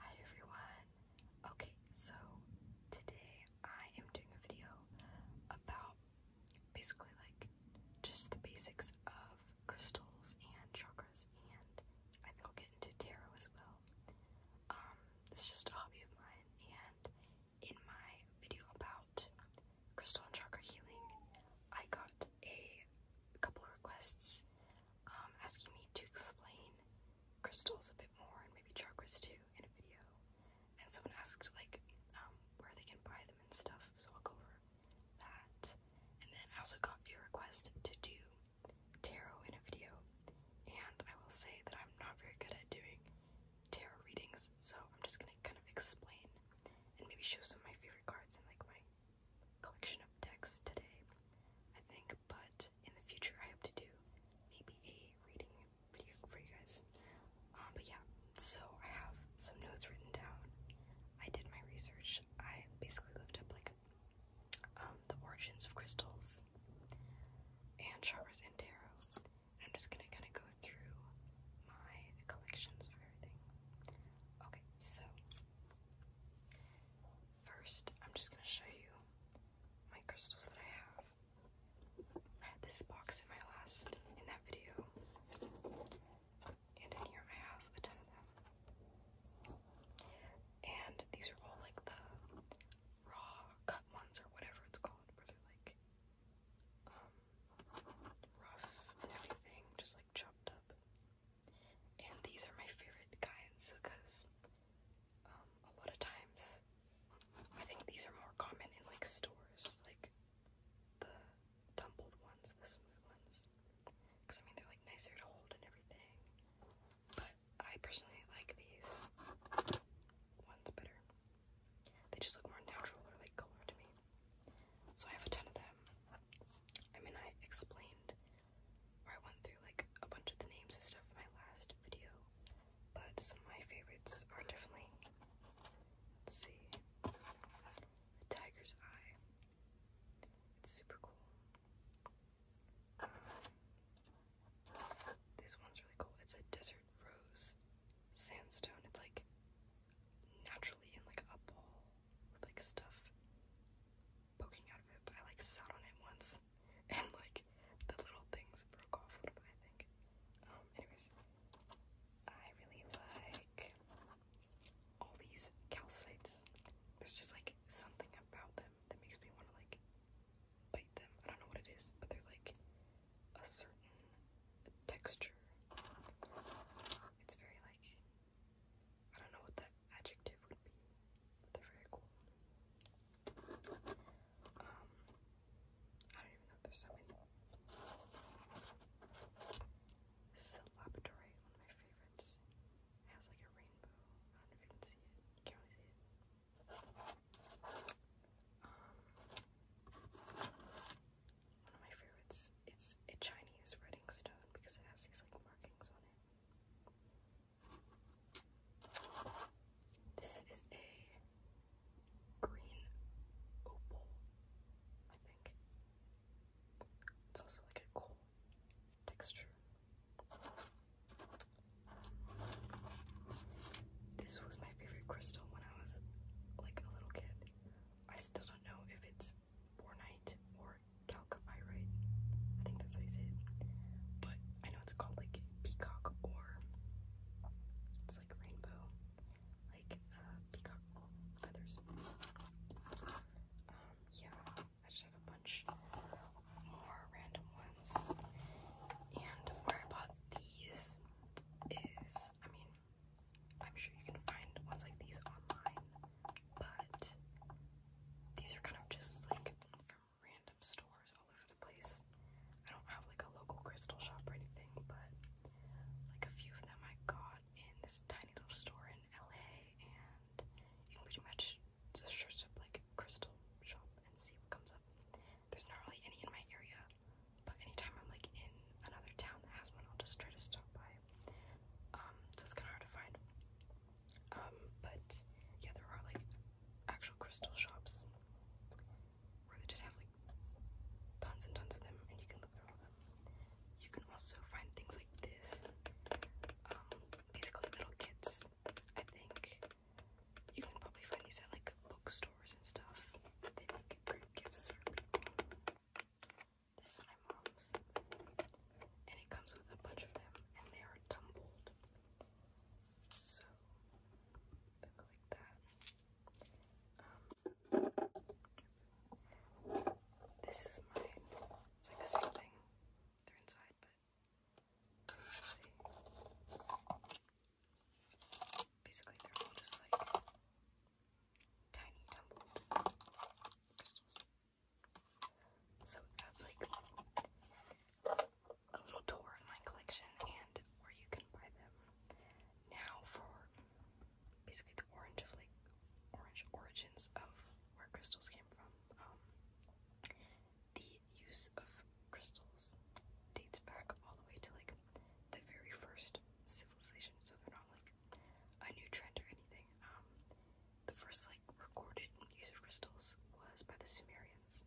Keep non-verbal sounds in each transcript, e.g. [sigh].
Hi everyone. Okay, so today I am doing a video about basically like just the basics of crystals and chakras and I think I'll get into tarot as well. Um it's just a hobby of mine and in my video about crystal and chakra healing, I got a couple requests um, asking me to explain crystals a bit more and maybe chakras too in a video. And someone asked like um, where they can buy them and stuff, so I'll go over that. And then I also got a request to do tarot in a video, and I will say that I'm not very good at doing tarot readings, so I'm just gonna kind of explain and maybe show some of my favorite cards and like my collection of texts today, I think, but in the future I hope to do maybe a reading video for you guys. Um, but yeah, so I have some notes written down. I did my research. I basically looked up like um, the origins of crystals and chakras and tarot. I'm just gonna kind of go through my collections of everything. Okay, so First, I'm just gonna show you my crystals that I have. I had this box in my last, in that video. And in here I have a ton of them. And these are all like the raw cut ones or whatever it's called, where they're like um, rough and everything, just like chopped up. And these are my favorite kinds because um, a lot of times I think these are more common in like stores, like the tumbled ones, the smooth ones. Because I mean, they're like nicer to hold and everything. But I personally like these ones better. They just look more natural or like color to me. So I have a ton of them. I mean, I explained where I went through like a bunch of the names and stuff in my last video. But some of my favorites are definitely let's see. The Tiger's Eye. It's super cool. this one's really cool. It's a desert rose sandstone. It's like naturally in like a ball with like stuff poking out of it, I like sat on it once [laughs] and like the little things broke off a little bit, I think. Um, anyways, I really like all these calcites. There's just like something about them that makes me want to like bite them. I don't know what it is, but they're like a certain texture. It's very like I don't know what that adjective would be, they're very cool. Um, I don't even know there's so many. This is a lapidary, one of my favorites. It has like a rainbow. I don't know if you can see it. can't really see it. Um, one of my favorites. It's a Chinese writing stone because it has these like markings this is a green opal, I think. It's also like a coal texture. This was my favorite crystal when I was like a little kid. I still don't know if it's bornite or calcopyrite. I think that's how you say it. But I know it's called like peacock or it's like rainbow, like uh, peacock feathers. Um, yeah, I just have a bunch more random ones. And where I bought these is, I mean, I'm sure you can find ones like these online, but these are kind of just like from random stores all over the place. I don't have like a local crystal shop or anything, but like a few of them I got in this tiny little store in LA, and you can pretty much just search up like crystal shop and see what comes up. There's not really any in my area, but anytime I'm like in another town that has one, I'll just try to stop by. Um, so it's kind of hard to find. Um, but yeah, there are like actual crystal shops where they just have like tons and tons of them, and you can look through all of them. You can also find things like this, um, basically little kits. I think you can probably find these at like bookstores and stuff. They make great gifts for people. This is my mom's. And it comes with a bunch of them, and they are tumbled. So, like that. Um, this is mine. It's like the same thing. They're inside, but see. Basically, they're all just like tiny tumbled crystals. So that's like a little tour of my collection and where you can buy them now for basically the orange of like orange origins of where crystals came from. Um, the use of crystals dates back all the way to like the very first civilization, so like a new trend or anything. Um, the first like recorded use of crystals was by the Sumerians,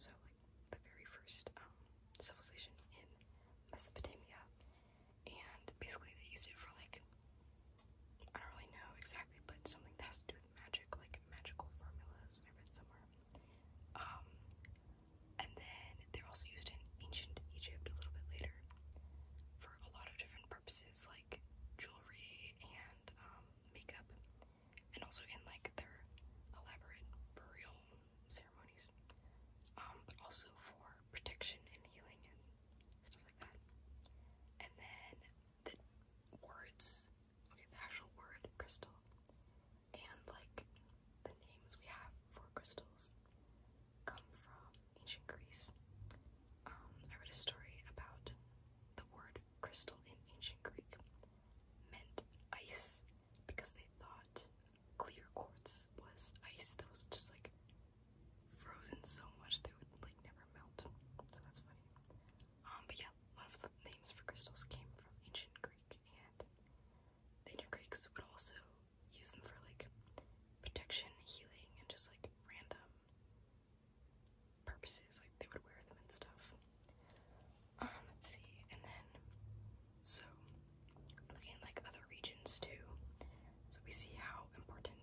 so like the very first um, civilization in Mesopotamia, and basically they used it for like I don't really know exactly, but something that has to do with magic, like magical formulas. I read somewhere. Um, and then they're also used in ancient Egypt a little bit later for a lot of different purposes, like jewelry and um, makeup, and also in like their elaborate burial ceremonies, um, but also for protection and healing and stuff like that. And then the words, okay, the actual word crystal, and like the names we have four crystals come from ancient Greece. Um, I read a story about the word crystal in ancient Greek meant ice because they thought clear quartz was ice that was just like frozen so much they would like never melt. So that's funny. Um, but yeah, a lot of names for crystals came from ancient Greek and the Greeks would also use them for like protection, healing, and just like random purposes. Like they would wear them and stuff. Um, let's see, and then so looking like other regions too. So we see how important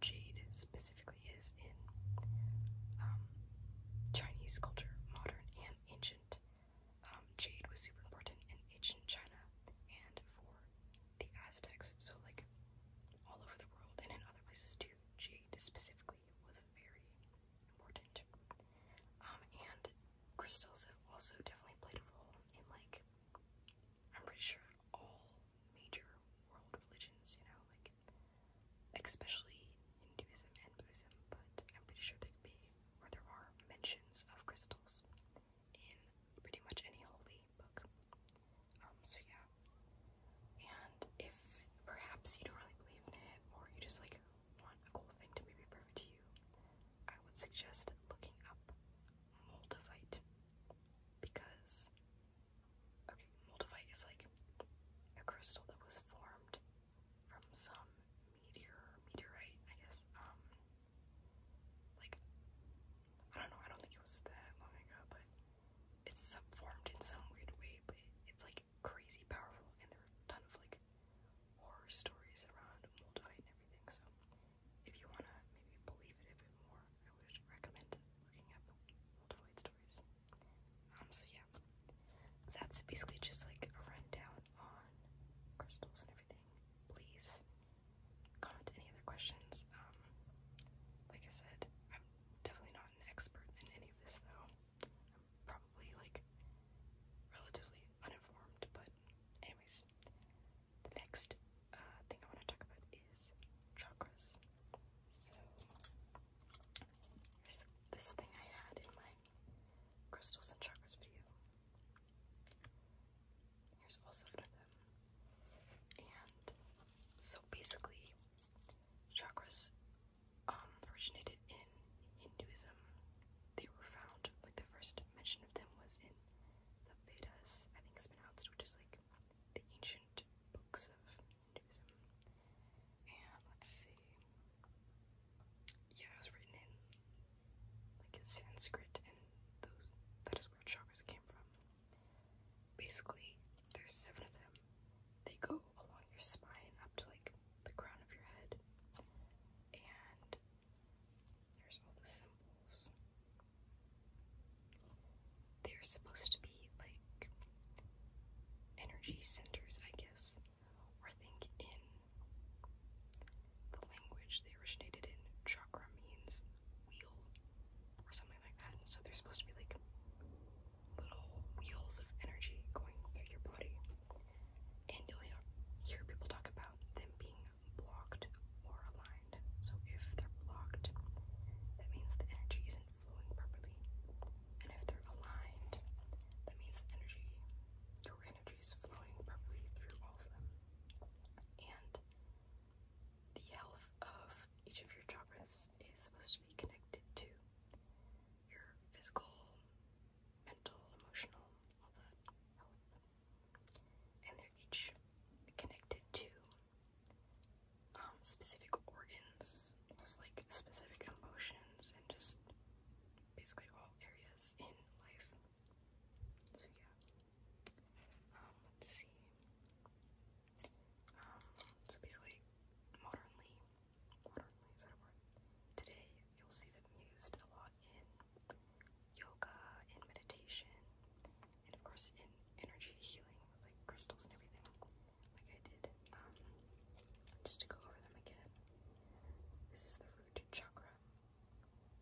jade specifically is in um, Chinese culture, modern and ancient um, jade was super important in ancient China and for the Aztecs, so like all over the world and in other places too. Jade specifically was very important. Um, and crystals have also definitely played a role in like I'm pretty sure all major world religions, you know, like especially Hinduism and Buddhism, but I'm pretty sure there could be where there are mentions of crystals in pretty much any holy book. Um, so yeah. And if perhaps you don't really believe in it, or you just like want a cool thing to maybe prove to you, I would suggest looking up moldavite because okay, moldavite is like a crystal that was formed from some meteor, meteorite, I guess, um, like I don't know, I don't think it was that long ago, but it's subformed in some weird way, but it's like crazy powerful and there are a ton of like horror stories around Moldavite and everything, so if you wanna maybe believe it a bit more, I would recommend looking up Moldavite stories. Um so yeah. That's basically just like a rundown on crystals and everything, please comment any other questions. Um, like I said, I'm definitely not an expert in any of this though. I'm probably like relatively uninformed, but anyways, the next uh, thing I want to talk about is chakras. So, this thing I had in my crystals and chakras for you. Here's also one of them. And so basically, chakras um, originated in Hinduism. They were found, like the first mention of them was in the Vedas, I think it's pronounced, which is like the ancient books of Hinduism. And let's see yeah, it's written in like Sanskrit, and those that is where chakras came from. Basically, there's seven of them. They go along your spine up to like the crown of your head, and there's all the symbols. They're supposed to be like energy centers, I guess or think in. The language they originated in, chakra means wheel or something like that. So they're supposed to be like little wheels of energy going through your body. And you'll hear people talk about them being blocked or aligned. So if they're blocked, that means the energy isn't flowing properly. And if they're aligned, that means the energy, your energy is flowing properly through all of them. And the health of each of your chakras is supposed to be connected to your physical, mental, emotional, all that And they're each connected to um, specific organs, like specific emotions and just basically all areas in life. So yeah. Um, let's see. Um, so basically, modernly, modernly is that a word? Today, you'll see them used a lot in yoga, in meditation, and of course in energy healing, like crystals and everything, like I did. Um, just to go over them again, this is the root chakra,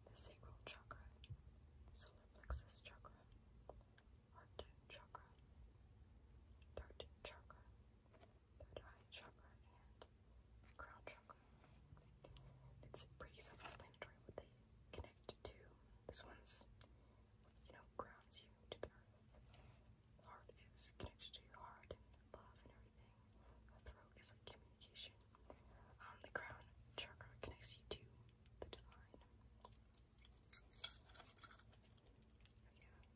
the sacral chakra, solar plexus chakra, heart chakra, third chakra, third eye chakra, and crown chakra. It's pretty self-explanatory what they connect to. This one's, you know, grounds you to the earth. heart is connected to your heart love and everything. The throat is like communication. Um, the crown chakra connects you to the divine.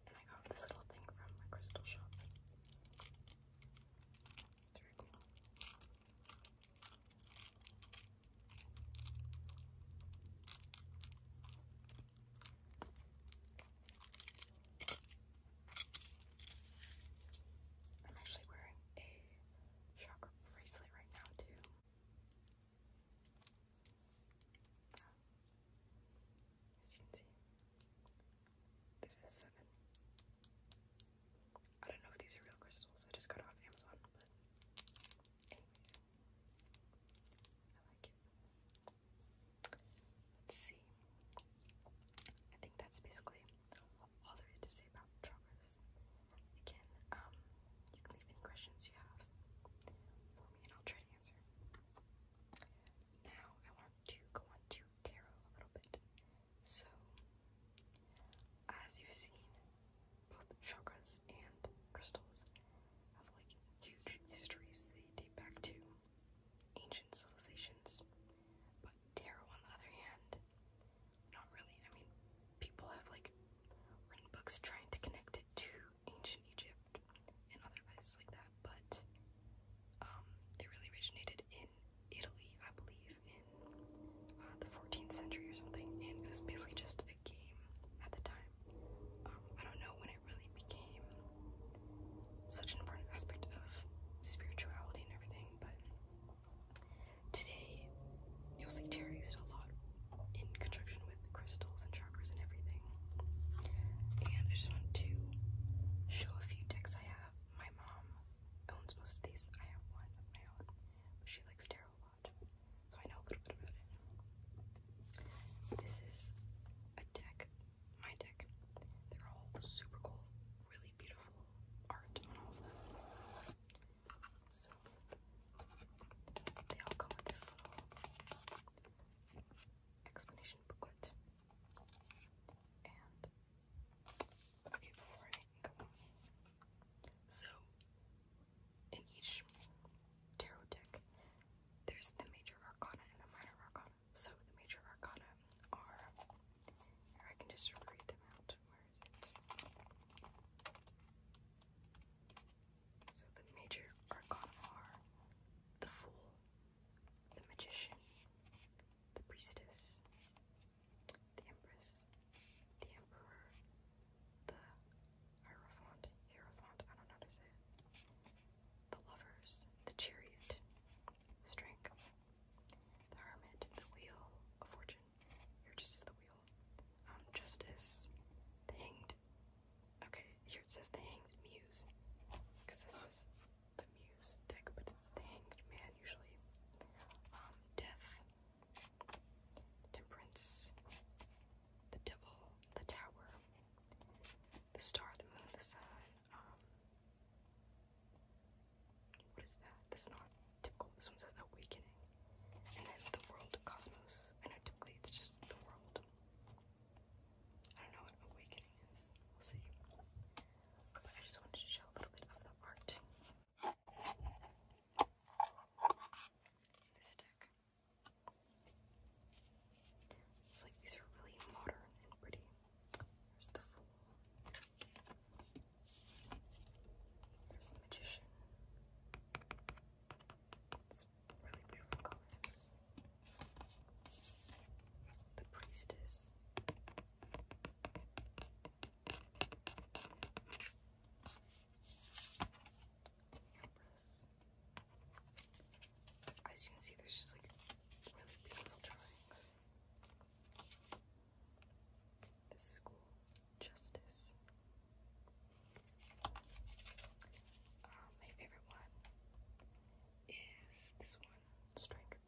and I got this little thing from my crystal shop. I'm actually wearing a chakra bracelet right now, too. As you can see, there's a seven. I don't know if these are real crystals, I just got off Amazon, but I like it. Let's see. I think that's basically all there is to say about joggers. Again, um, you can leave any questions you have for me and I'll try to answer. Now I want to go on to tarot a little bit. So as you've seen, both chakras and crystals have like huge histories. They date back to ancient civilizations. But tarot, on the other hand, not really. I mean, people have like written books trying to connect it to ancient Egypt and other like that, but it um, really originated in Italy, I believe, in uh, the 14th century or something, and it was basically just a game at the time. Um, I don't know when really became such an important aspect of spirituality and everything. But today, you'll see tarot used a lot in conjunction with crystals and chakras and everything. And I just want to show a few decks I have. My mom owns most of these. I have one of my own, she likes tarot a lot, so I know a little bit about it. This is a deck my deck. They're all super cool, really beautiful art on all of them. So they all come with this little explanation booklet. And okay, before I go So in each tarot deck, there's the major arcana and the minor arcana. So the major arcana are, I can just read them out. So the major arcana are the Fool, the Magician, the Priestess, the Empress, the Emperor, the Hierophant, Hierophant, I don't know how to say it, the lovers, the chariot, strength, the hermit, the wheel of fortune. Here just says the wheel. Um, justice, hanged. Okay, here it says the hanged muse. Because this is the muse deck, but it's the hanged man usually. Um, death, temperance, the devil, the tower, the star, the moon, the sun, um, what is that? That's not typical. This one says awakening. And then the world, cosmos. I typically it's just the world. I don't know what awakening is. We'll see. But I just wanted to show a little bit of the art. This deck. It's like these are really modern and pretty. There's the fool. There's the magician. It's really beautiful colors. The priestess. Empress. As you can see, there's just like really beautiful drawings. This is cool. Justice. Uh, my favorite one is this one, Strength,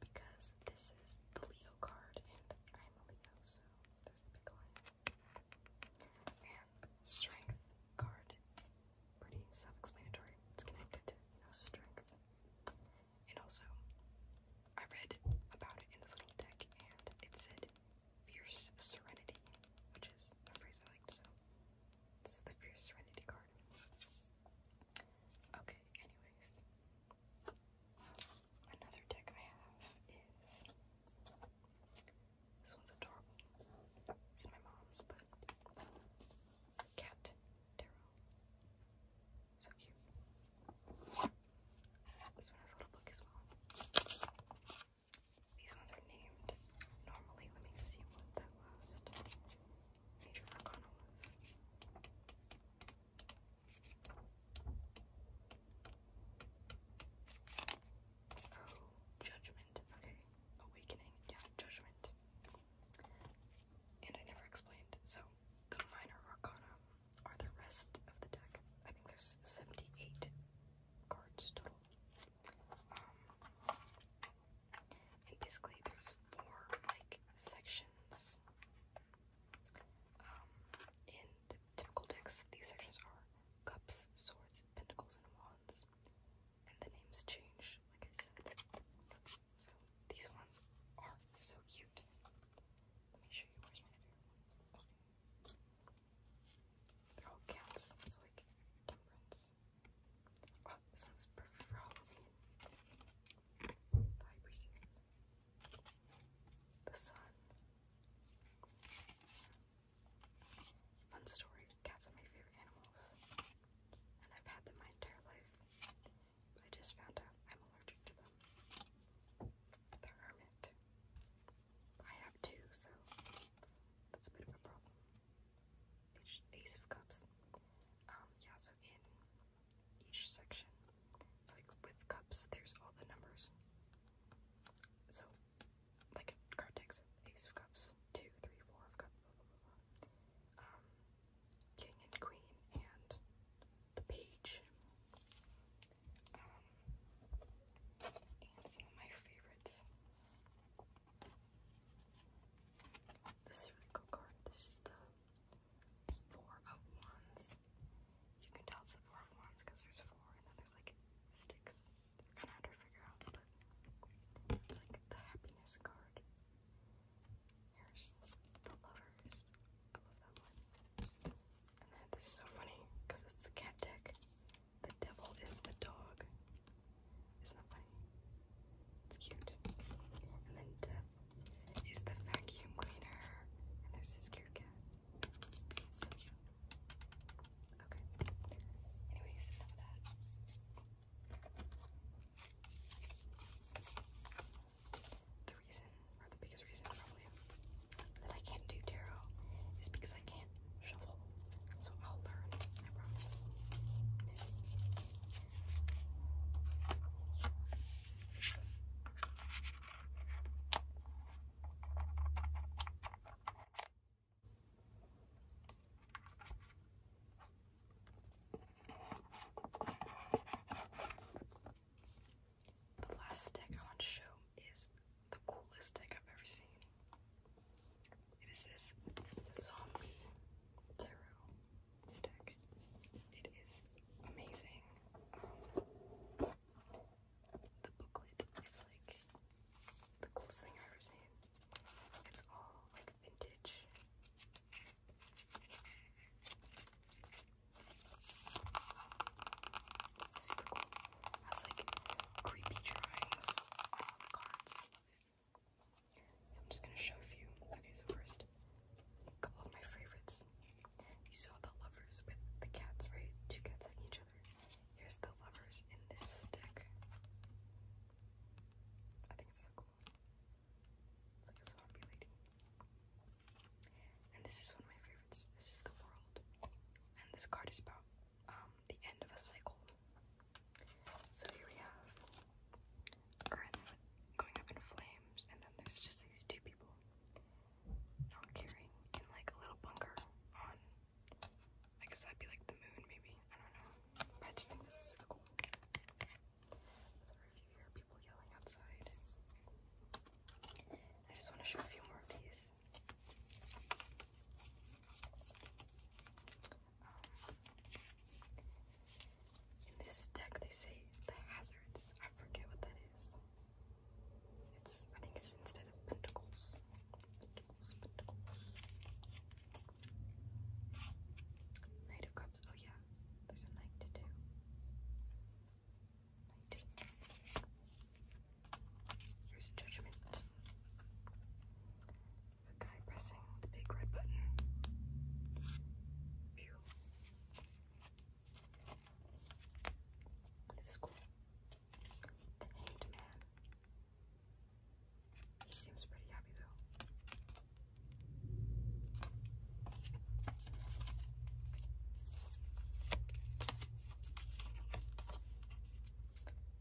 because this is the Leo card, and I'm a Leo, so there's the big line. And Strength card pretty self-explanatory. It's connected to, you know, strength. And also, I read about it in this little deck, and it said fierce serenity, which is a phrase I liked, so this the fierce serenity card. Okay, anyways. Another deck I have is this one's adorable. It's my mom's, but cat tarot. So cute. This one has a little book as well. These ones are named normally. Let me see what that last major arcana was. Oh, judgment. Okay awakening, yeah, judgment. And I never explained. So the minor arcana are the rest of the deck. I think there's 78 cards total. Um, and basically there's four like sections. Um, in typical decks, these sections are cups, swords, pentacles, and wands and the names change, like I said. So these ones are so cute. Let me show you They're all cats. It's like temperance. Oh, this one's perfect for The sun. Fun story, cats are my favorite animals. And I've had them my entire life. I just found out I'm allergic to them. The hermit. I have two, so that's a bit of a problem. ace of cups. Um, yeah, so in each section, like with cups, there's all the numbers. So like a card decks, ace of cups, two, three, four of cups, Um, king and queen and the page. Um, and some of my favorites. This is a really cool card. This is the four of wands. You can tell it's the four of wands because there's four and then there's like sticks. They're going to figure out, but it's like the happiness card. Here's the lovers. I love that one. And then this is so funny because it's the cat deck. The devil is the dog. Isn't that funny? It's cute. And then death is the vacuum cleaner. And there's this cute cat. So cute. Okay. Anyways, The reason, or the biggest reason probably, that I can't do tarot is because I can't shuffle. So I'll learn, the last stick I want to show is the coolest stick I've ever seen. It is this zombie tarot deck. It is amazing. Um, the booklet is like the coolest thing I've ever seen. It's all like vintage. super cool. has like creepy drawings on all I love it. So I'm just gonna show a few. Okay, so first, a couple of my favorites. You saw the lovers with the cats, right? Two cats hugging each other. Here's the lovers in this deck. I think it's so cool. It's like a zombie lady. And this is one of my favorites. This is the world. And this card is about um, the end of a cycle. So here we have Earth going up in flames, and then there's just these two people not caring in like a little bunker on I guess that'd be like the moon maybe. I don't know. But I just think this is super cool. Sorry if you hear people yelling outside. I just want to show a few more of these. Um, in this deck, they say the hazards. I forget what that is. It's I think it's instead of pentacles. Pentacles, pentacles. Knight of Cups. Oh yeah, there's a knight to do. judgment. There's guy pressing the big red button. This is cool. The hanged man. He seems pretty happy though.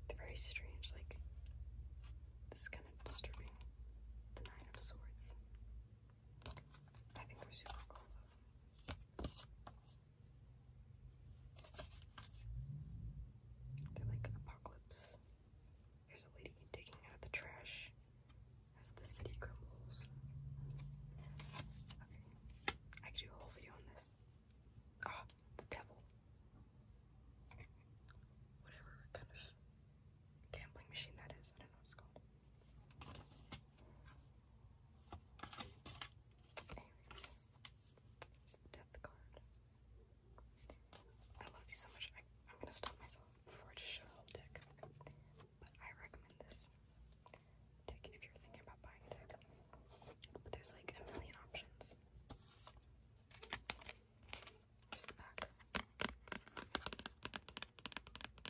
They're very strange, like this is kind of disturbing. The Nine of Swords. I think we're super cool though. They're like apocalypse. There's a lady digging out the trash as the city crumbles. Okay, I could do a whole video on this. Ah, the devil. Whatever kind of gambling machine that is, I don't know what called. Just the death card. I love these so much. I, I'm gonna stop myself before I just show the whole deck. But I recommend this deck if you're thinking about buying a deck. But there's like a million options. Here's the back.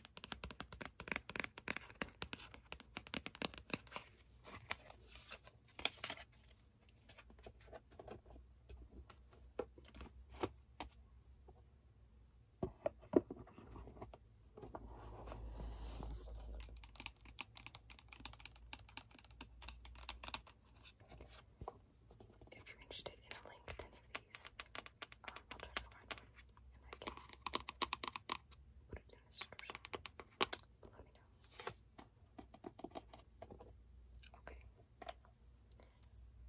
If you're interested in a link to any of these, um, I'll try to find one and I can put it in the description. let me know. Okay.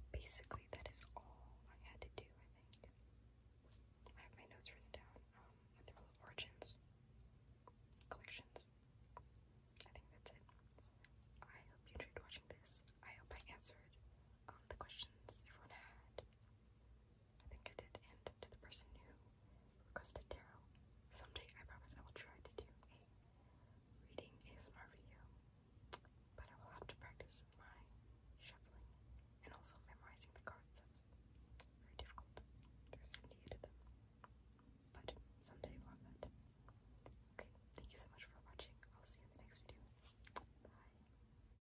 Basically, that is all I had to do, I think. I have my notes written down. Um, with the origins, collections. I think that's it. I hope you enjoyed watching this. I hope I answered um, the questions everyone had. I think I did, and to the person who requested tarot. Someday, I promise I will try to do a reading ASMR video, but I will have to practice my shuffling and also memorizing the cards. That's very difficult. There's 78 of them, but someday we that. Okay, thank you so much for watching. I'll see you in the next video. Bye.